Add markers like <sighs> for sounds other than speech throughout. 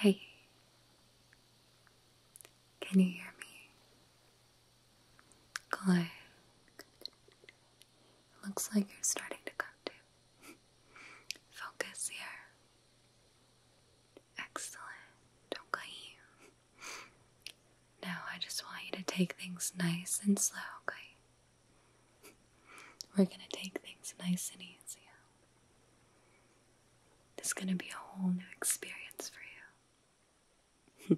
Hey, can you hear me? Good. Looks like you're starting to come to. Focus here. Excellent. Okay. Now I just want you to take things nice and slow, okay? We're gonna take things nice and easy. This is gonna be a whole new experience for you.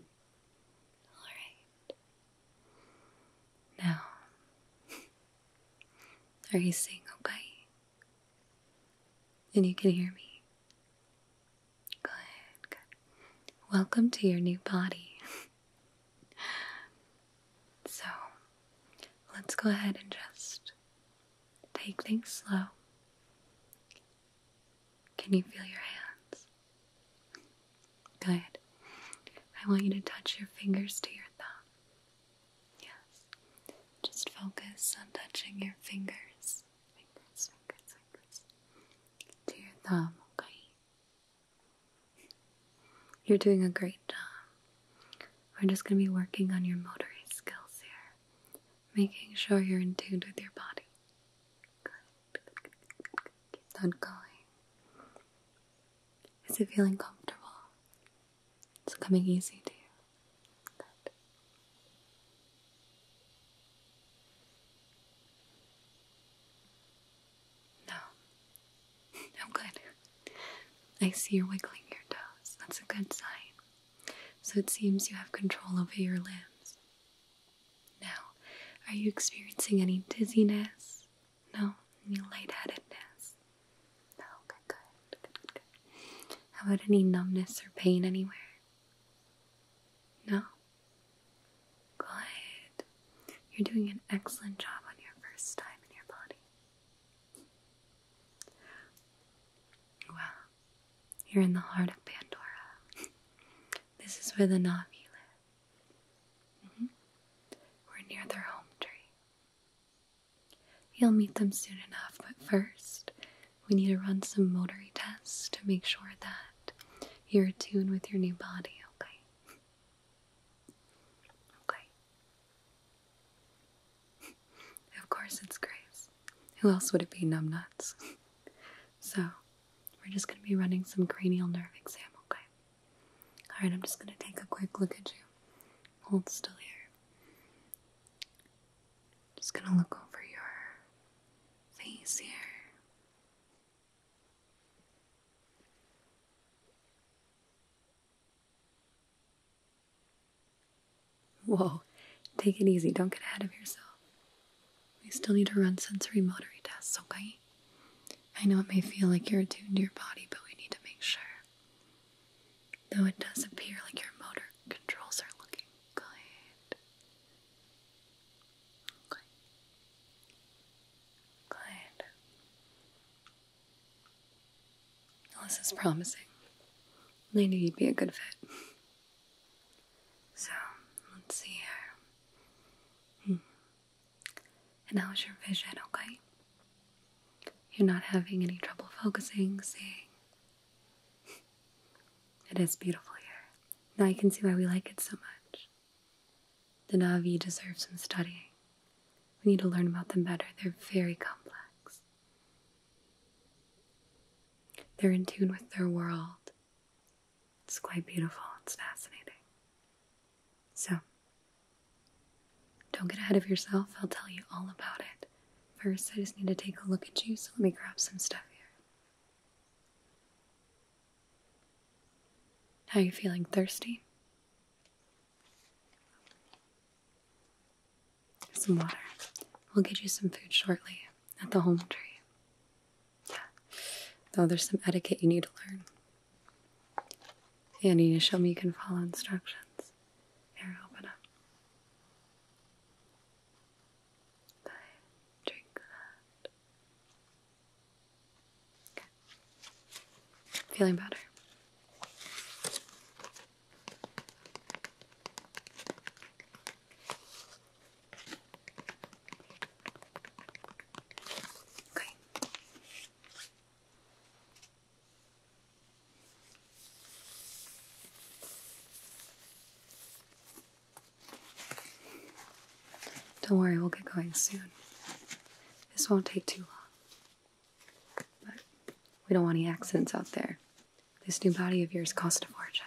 <laughs> Alright. Now, are you saying okay? And you can hear me? Good, Welcome to your new body. <laughs> so, let's go ahead and just take things slow. Can you feel your hands? Good. I want you to touch your fingers to your thumb. Yes. Just focus on touching your fingers. Fingers, fingers, fingers. To your thumb, okay? You're doing a great job. We're just going to be working on your motory skills here, making sure you're in tune with your body. Good. Keep that going. Is it feeling comfortable? It's coming easy to you. Good. No. <laughs> good. I see you're wiggling your toes. That's a good sign. So it seems you have control over your limbs. Now, are you experiencing any dizziness, no, any lightheadedness? No, good, good, good, good, How about any numbness or pain anywhere? No? Good. You're doing an excellent job on your first time in your body. Well, You're in the heart of Pandora. <laughs> this is where the Navi live. Mm-hmm. We're near their home tree. You'll meet them soon enough, but first, we need to run some motory tests to make sure that you're tuned with your new body, okay? okay. Of course, it's Grace. Who else would it be, numbnuts? <laughs> so, we're just going to be running some cranial nerve exam, okay? Alright, I'm just going to take a quick look at you. Hold still here. Just going to look over your face here. Whoa, take it easy. Don't get ahead of yourself. We still need to run sensory motory tests, okay? I know it may feel like you're attuned to your body, but we need to make sure. Though it does appear like your motor controls are looking good. Okay. Good. this is promising. I knew you'd be a good fit. So, let's see here. Hmm. And how's your vision, okay? You're not having any trouble focusing, seeing. it is beautiful here. Now I can see why we like it so much. The Navi deserve some studying. We need to learn about them better. They're very complex. They're in tune with their world. It's quite beautiful. It's fascinating. So, don't get ahead of yourself. I'll tell you all about it. First, I just need to take a look at you, so let me grab some stuff here. How are you feeling? Thirsty? Some water. We'll get you some food shortly at the home tree. Yeah. Though there's some etiquette you need to learn. Andy, you show me you can follow instructions. Here, open up. I drink that. Feeling better. Okay. Don't worry, we'll get going soon. This won't take too long. But we don't want any accidents out there. This new body of yours cost a fortune.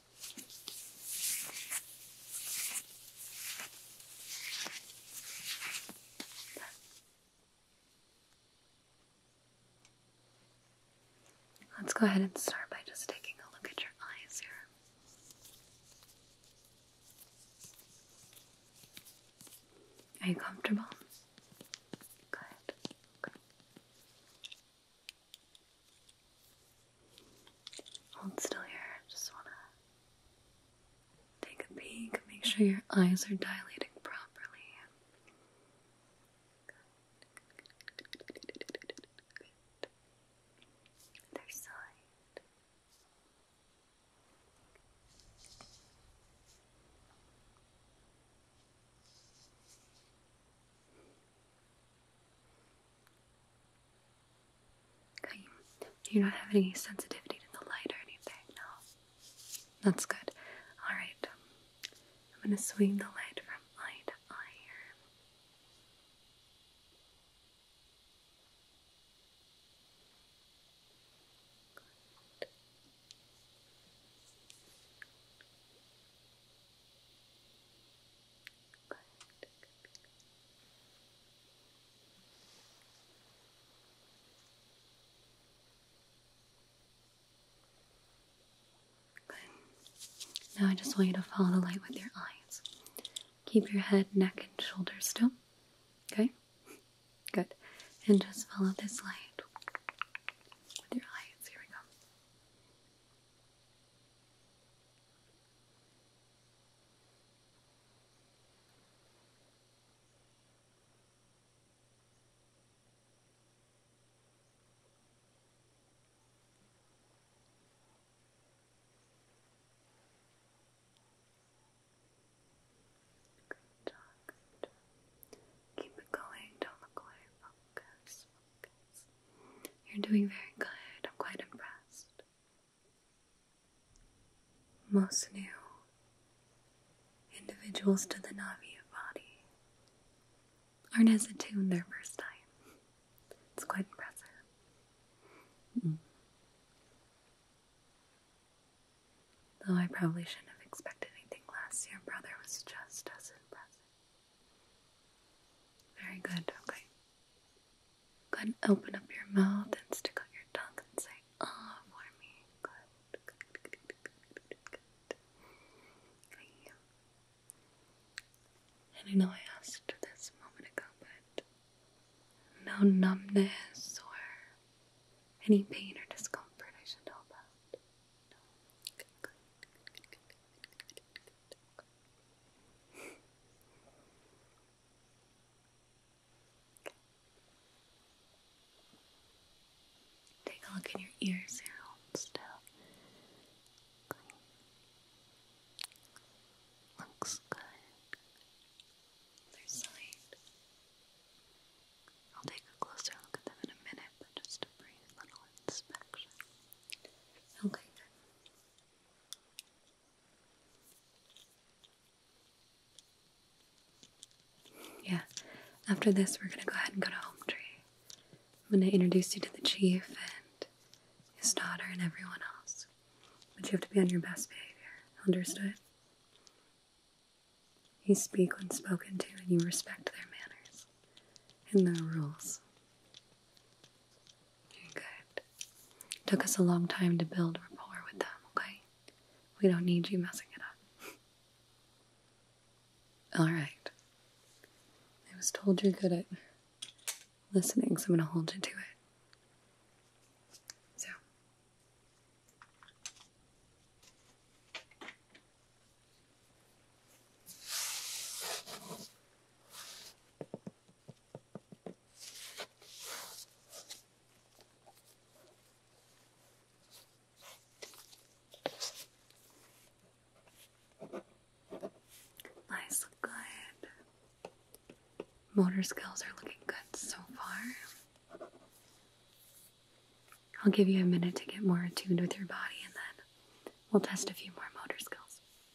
Let's go ahead and start by just taking a look at your eyes here. Are you comfortable? Good. Hold still here. Just want to take a peek. Make sure your eyes are dilating properly. Good. Good. side you're not having any sensitivity to the light or anything, no? That's good. Alright, I'm gonna swing the light from eye to good. Now I just want you to follow the light with your eyes. Keep your head, neck, and shoulders still. Okay? Good. And just follow this light with your eyes. Here we go. Good job, Keep it going, don't look focus, you're doing very good. I'm quite impressed. Most new individuals to the Navi body aren't as attuned their first time. It's quite impressive. Mm-hmm. Though I probably shouldn't have expected anything less, your brother was just as impressive. Very good, okay. Go ahead and open up your mouth and stick out your tongue and say ah oh, for me. Good, And I know I asked this moment ago, but no numbness or any pain or discomfort I should know about. Take a look in your ears here, still. Looks good. Other side. I'll take a closer look at them in a minute, but just a brief little inspection. Okay, Yeah, after this, we're gonna go ahead and go to Home Tree. I'm gonna introduce you to the chief and his daughter and everyone else. But you have to be on your best behavior. Understood? You speak when spoken to, and you respect their manners and their rules. Very good. It took us a long time to build rapport with them, okay? We don't need you messing it up. <laughs> Alright. I was told you're good at listening, so I'm gonna hold you to it. So. Nice, good. Motor skills are looking good so far. I'll give you a minute to get more attuned with your body and then we'll test a few more motor skills.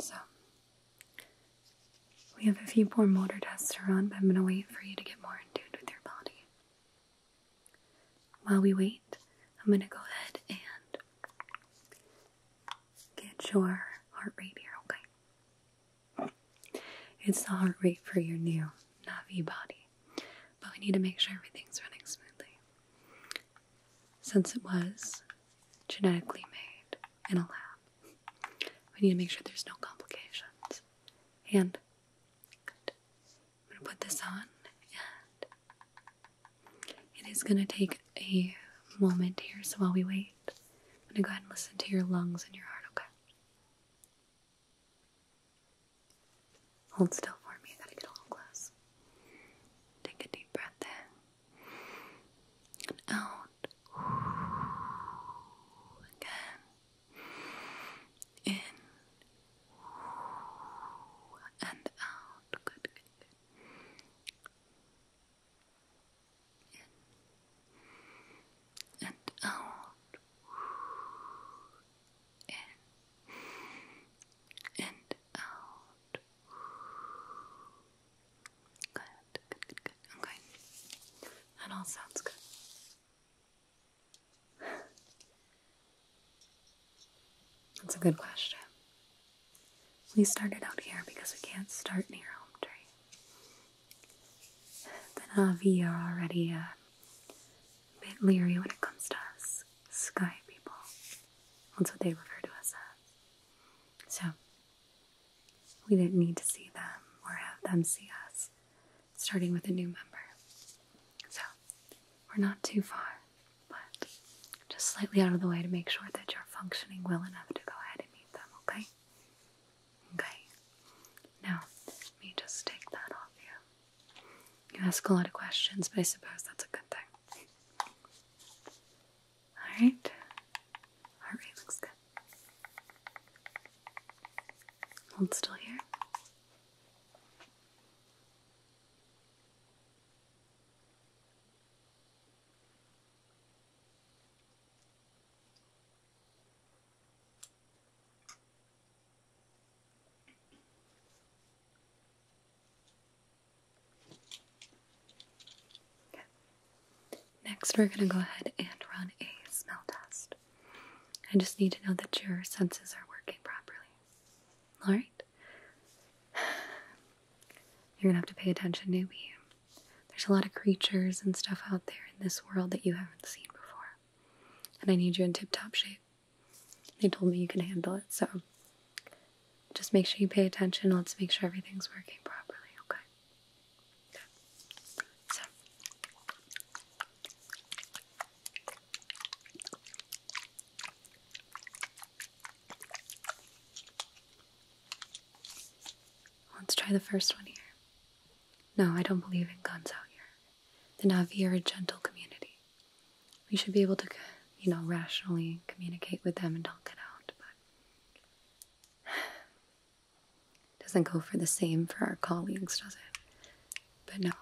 So, we have a few more motor tests to run, but I'm going to wait for you to get more in tune with your body. While we wait, I'm going to go ahead and get your heart rate here, okay? It's the heart rate for your new Navi body, but we need to make sure everything's running smoothly. Since it was genetically made in a lab, we need to make sure there's no complications. And I'm gonna put this on, and it is gonna take a moment here, so while we wait. I'm going to go ahead and listen to your lungs and your heart, okay? Hold still for me. I gotta get a little close. Take a deep breath in and out. Again. In and out. Good, good, good and out and out good, good, good, good, okay that all sounds good that's a good question we started out here because we can't start near home tree. The uh, Navi are already uh, a bit leery when it comes to us sky people. That's what they refer to us as. So, we didn't need to see them or have them see us, starting with a new member. So, we're not too far, but just slightly out of the way to make sure that you're functioning well enough to go ahead and okay? Okay. Now, let me just take that off you. You ask a lot of questions, but I suppose that's a good thing. Alright. Alright, looks good. Hold still here. Next, we're going to go ahead and run a smell test. I just need to know that your senses are working properly. Alright? <sighs> You're going to have to pay attention to me. There's a lot of creatures and stuff out there in this world that you haven't seen before. And I need you in tip top shape. They told me you can handle it, so just make sure you pay attention. Let's make sure everything's working properly, okay. So. Let's try the first one here. No, I don't believe in guns out here. The Navi are a gentle community. We should be able to, you know, rationally communicate with them and talk it out, <sighs> doesn't go for the same for our colleagues, does it? But no,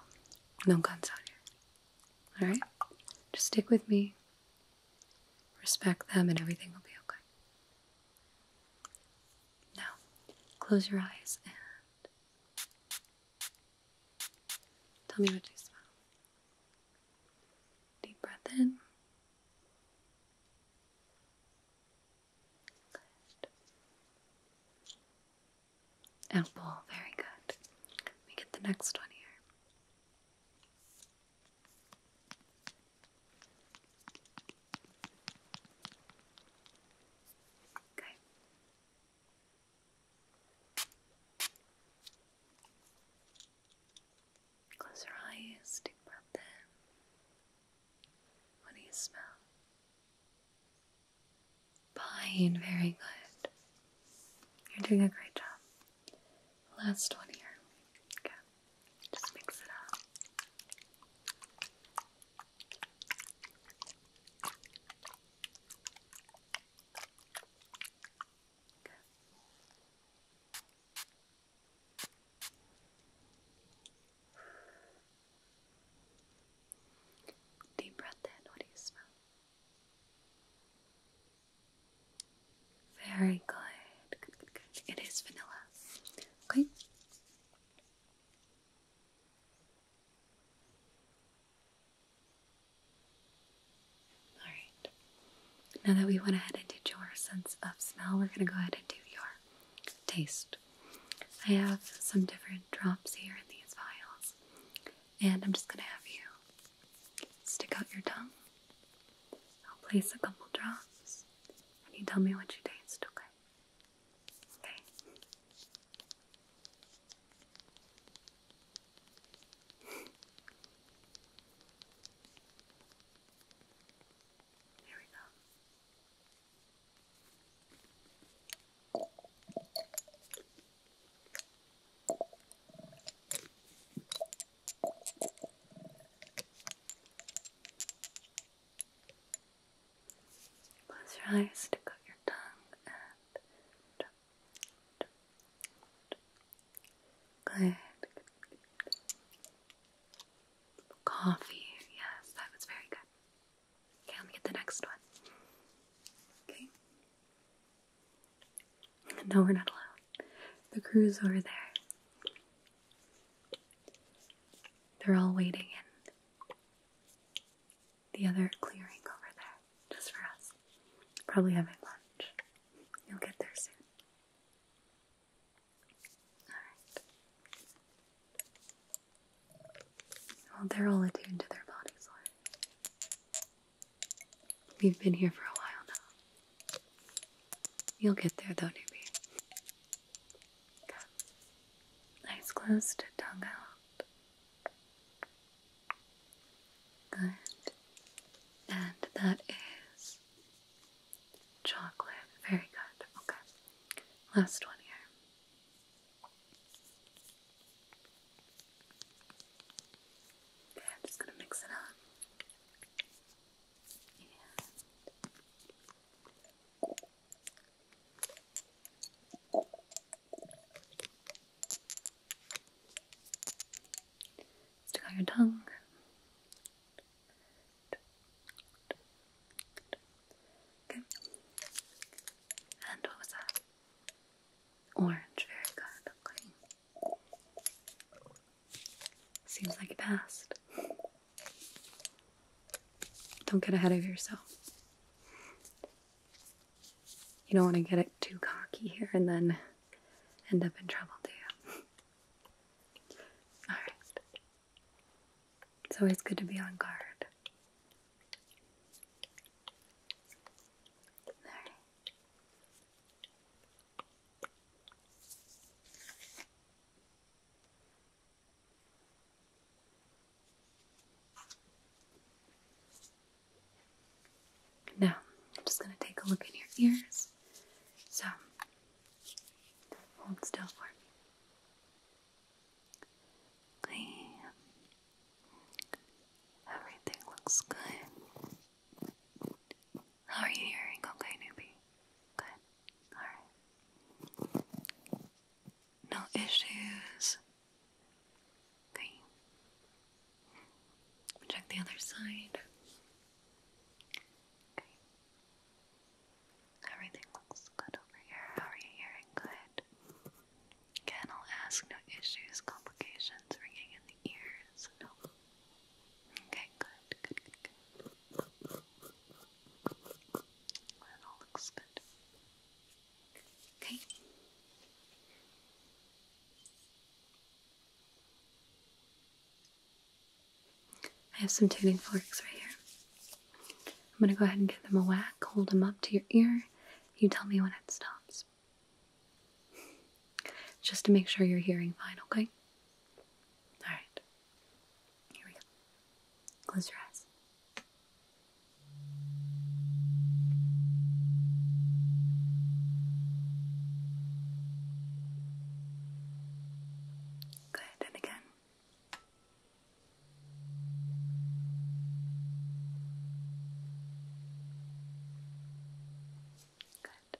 no guns out here. Alright? Just stick with me. Respect them and everything will be okay. Now, close your eyes and tell me what you smell. Deep breath in. Good. Apple, very good. Let me get the next one here. Close your eyes, deep breath in. What do you smell? Pine, very good. You're doing a great job. Last one here. Okay. Just mix it up. Deep breath in. What do you smell? Very good. It is vanilla. Okay. All right. Now that we went ahead and did your sense of smell, we're going to go ahead and do your taste. I have some different drops here in these vials, and I'm just going to have you stick out your tongue. I'll place a couple drops and you tell me what you taste, okay? Okay. Here we go. Close your eyes, stick out your tongue, and drop, Coffee, yes, that was very good. Okay, let me get the next one. Okay. No, we're not allowed the crew's over there. They're all waiting in the other clearing over there, just for us. Probably having lunch. You'll get there soon. Alright. Well, they're all attuned to their bodies We've been here for a while now. You'll get there though, newbie. Good. Eyes closed, tongue out. Good. And that is chocolate. Very good. Okay. Last one here. Okay, just gonna mix it up stick out your tongue. Okay. And what was that? Orange, very good. Seems like it passed. Don't get ahead of yourself. You don't want to get it too cocky here and then end up in trouble, do you? Alright. It's always good to be on guard. Alright. Now, I'm just going to take a look in your ears. So, hold still for me. Everything looks good. How are you hearing? Okay, newbie. Good. Alright. No issues. Okay. Check the other side. Okay. Everything looks good over here. How are you hearing? Good. Again, I'll ask no issues, complications, ringing in the ears. No. Okay, good, good, good, good. all looks good. Okay. I have some tuning forks right here. I'm going to go ahead and give them a whack, hold them up to your ear. You tell me when it stops. Just to make sure you're hearing fine, okay? Alright. Here we go. Close your eyes. Good, and again. Good.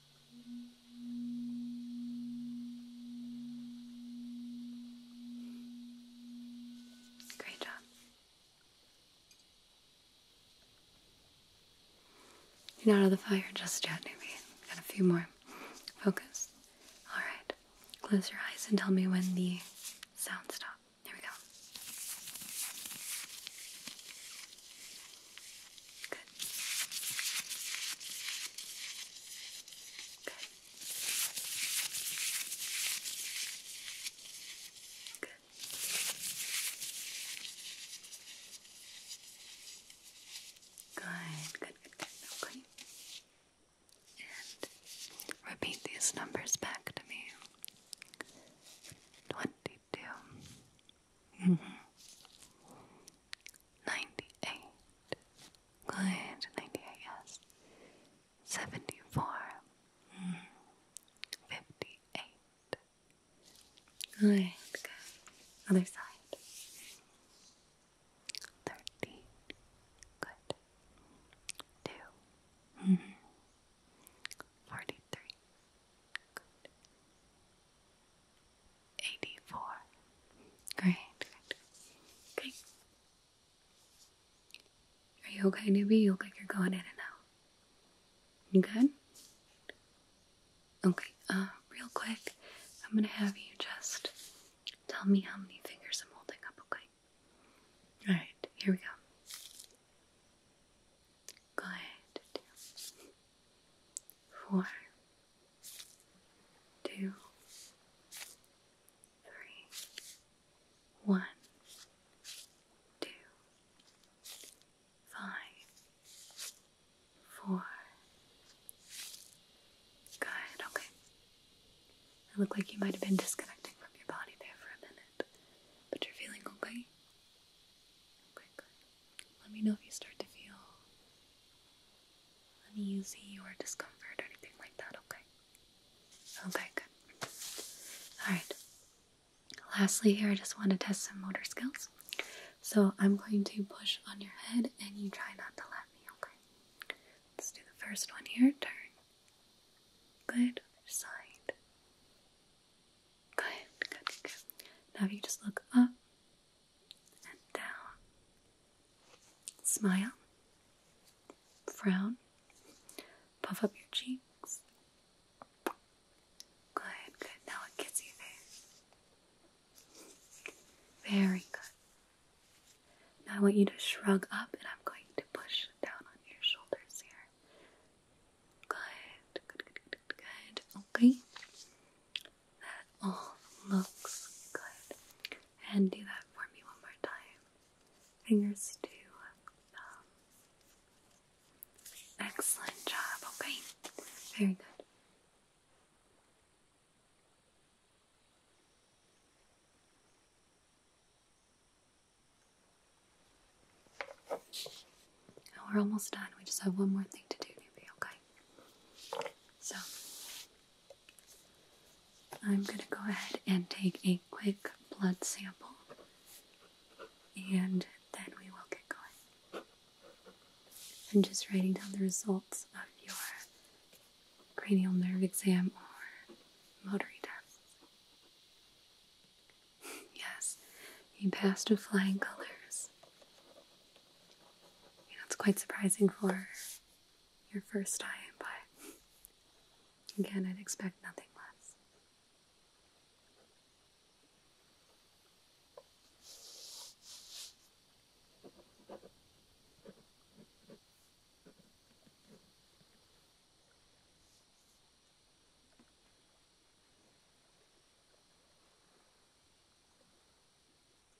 Great job. You're not out of the fire just yet, maybe. Got a few more. Focus. Alright. Close your eyes and tell me when the sounds stop. Here we go. Good. Good. Good, good, repeat these numbers back to me. Twenty-two. -hmm. Ninety-eight. Good. Ninety-eight. Yes. Seventy-four. Hmm. Fifty-eight. Good. Other side. Thirty. Good. Two. Hmm. Good. 84. Great, great. Are you okay, newbie? You look like you're going in and out. You good? Okay, uh, real quick, I'm gonna have you just tell me how many fingers I'm holding up, okay? Alright, here we go. Go Four, two, three, one, two, five, four. Good, okay. It looked like you might have been disconnecting from your body there for a minute, but you're feeling okay? Okay, good. Let me know if you start to feel uneasy or discomfort or anything like that, okay? Okay, good. Alright. Lastly, here I just want to test some motor skills. So I'm going to push on your head and you try not to let me, okay? Let's do the first one here. Turn. Good. side. Good, good, Now you just look up and down Smile, frown, puff up your cheeks. Good, good. Now it gets you there. Very good. Now I want you to shrug up and I'm going to push down on your shoulders here. Good, good, good, good, good. Okay that oh, all looks good. And do that for me one more time. Fingers to um, Excellent job. Okay. Very good. we're almost done. We just have one more thing to do, maybe, okay? So, I'm going to go ahead and take a quick blood sample and then we will get going. I'm just writing down the results of your cranial nerve exam or motory tests. <laughs> yes, he passed with flying colors. You know, it's quite surprising for your first time, but again, I'd expect nothing less.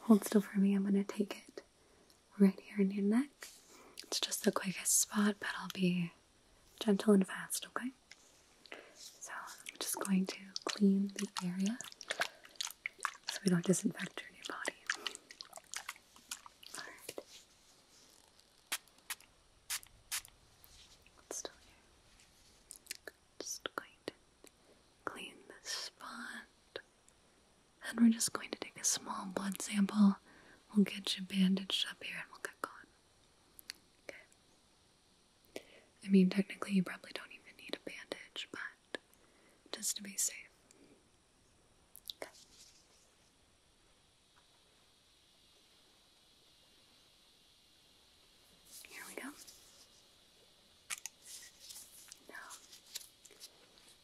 hold still for me. I'm going to take it right here in your neck. It's just the quickest spot, but I'll be gentle and fast, okay? So I'm just going to clean the area so we don't disinfect your new body. Alright. It's still here. Just going to clean this spot. And we're just going to take a small blood sample. We'll get you bandaged up here and we'll get going. Okay. I mean, technically, you probably don't even need a bandage, but just to be safe. Okay. Here we go. Now,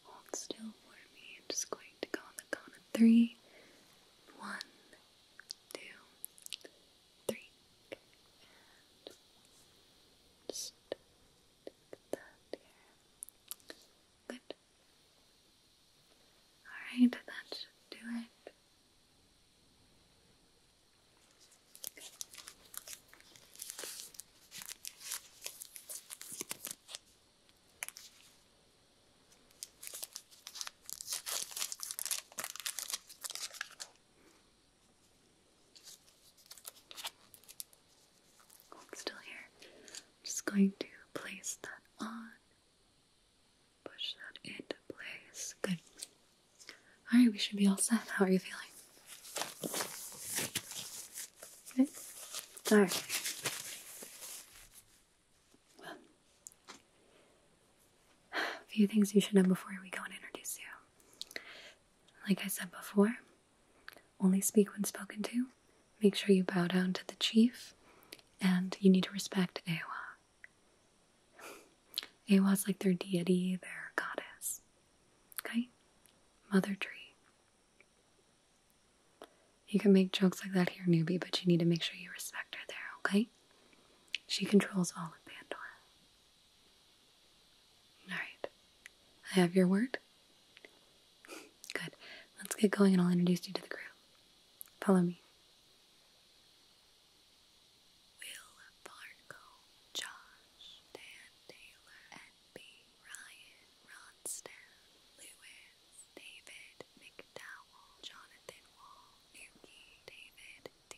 hold still for me. I'm just going to go on the count of three. One, two, three. Good. Alright, that should do it. still here. just going to place that on Push that into place. Good. Alright, we should be all set. How are you feeling? Good. Alright. Well, a few things you should know before we go and introduce you. Like I said before, only speak when spoken to. Make sure you bow down to the chief and you need to respect Awa. Awa's like their deity, their goddess. Okay? Mother tree. You can make jokes like that here, newbie, but you need to make sure you respect her there, okay? She controls all of Pandora. Alright. I have your word? <laughs> Good. Let's get going and I'll introduce you to the crew. Follow me. Will Fargo, Josh, Dan Taylor, N.B. Ryan, Ronstadt, Lewis, David McDowell, Jonathan Wall, Nuki, David D.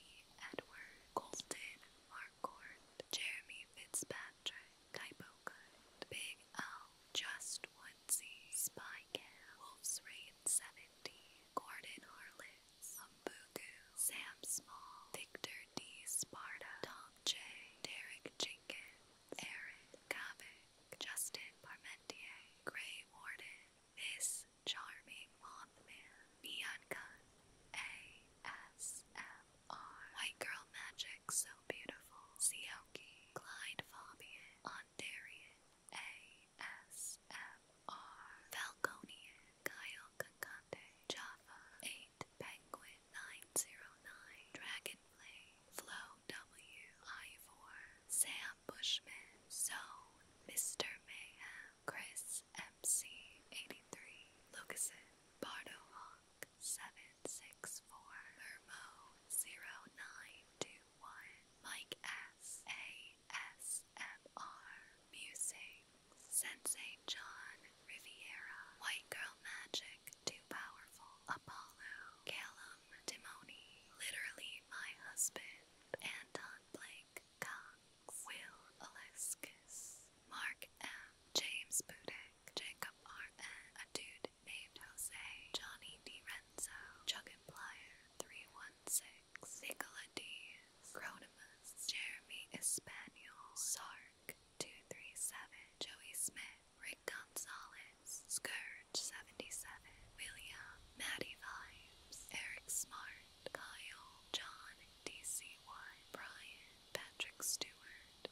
Edward, Colton Marcourt, Jeremy Fitzpatrick, Typo Good, Big L, Just Woodsy, Spy Michael, 70, Gordon Harless, Mbugu, Sam Small, Victor D. Sparta, Tom J., Derek Jenkins, Aaron Kavik, Justin Parmentier, Gray Warden, This Charming Mothman, Neon Gun, ASMR, White Girl Magic So Beautiful, Sioki, Clyde Fabian, Ondarian, A. ASMR, Falconian, Kyle Kakande, Java, 8 Penguin 909, Dragonplay, Flo W, Ivor, Sam Bushman, Zone, Mr. Mayhem, Chris MC 83, Lucasen, Bardo 764, Vermo 092, one. Mike S. A. S. M. R. Musings. Sensei John Riviera. White Girl Magic. Too Powerful. Apollo. Callum Timoni. Literally My Husband. Anton Blake Cox. Will Aleskis. Mark M. James Budek. Jacob R. N. A dude named Jose. Johnny DiRenzo. Chuggin Plier. 319. Ponsex, Nicolades, Cronimus, Jeremy Espaniel, Sark 237, Joey Smith, Rick Gonzalez, Scourge 77, William, Maddie Vibes, Eric Smart, Kyle, John DCY, Brian, Patrick Stewart.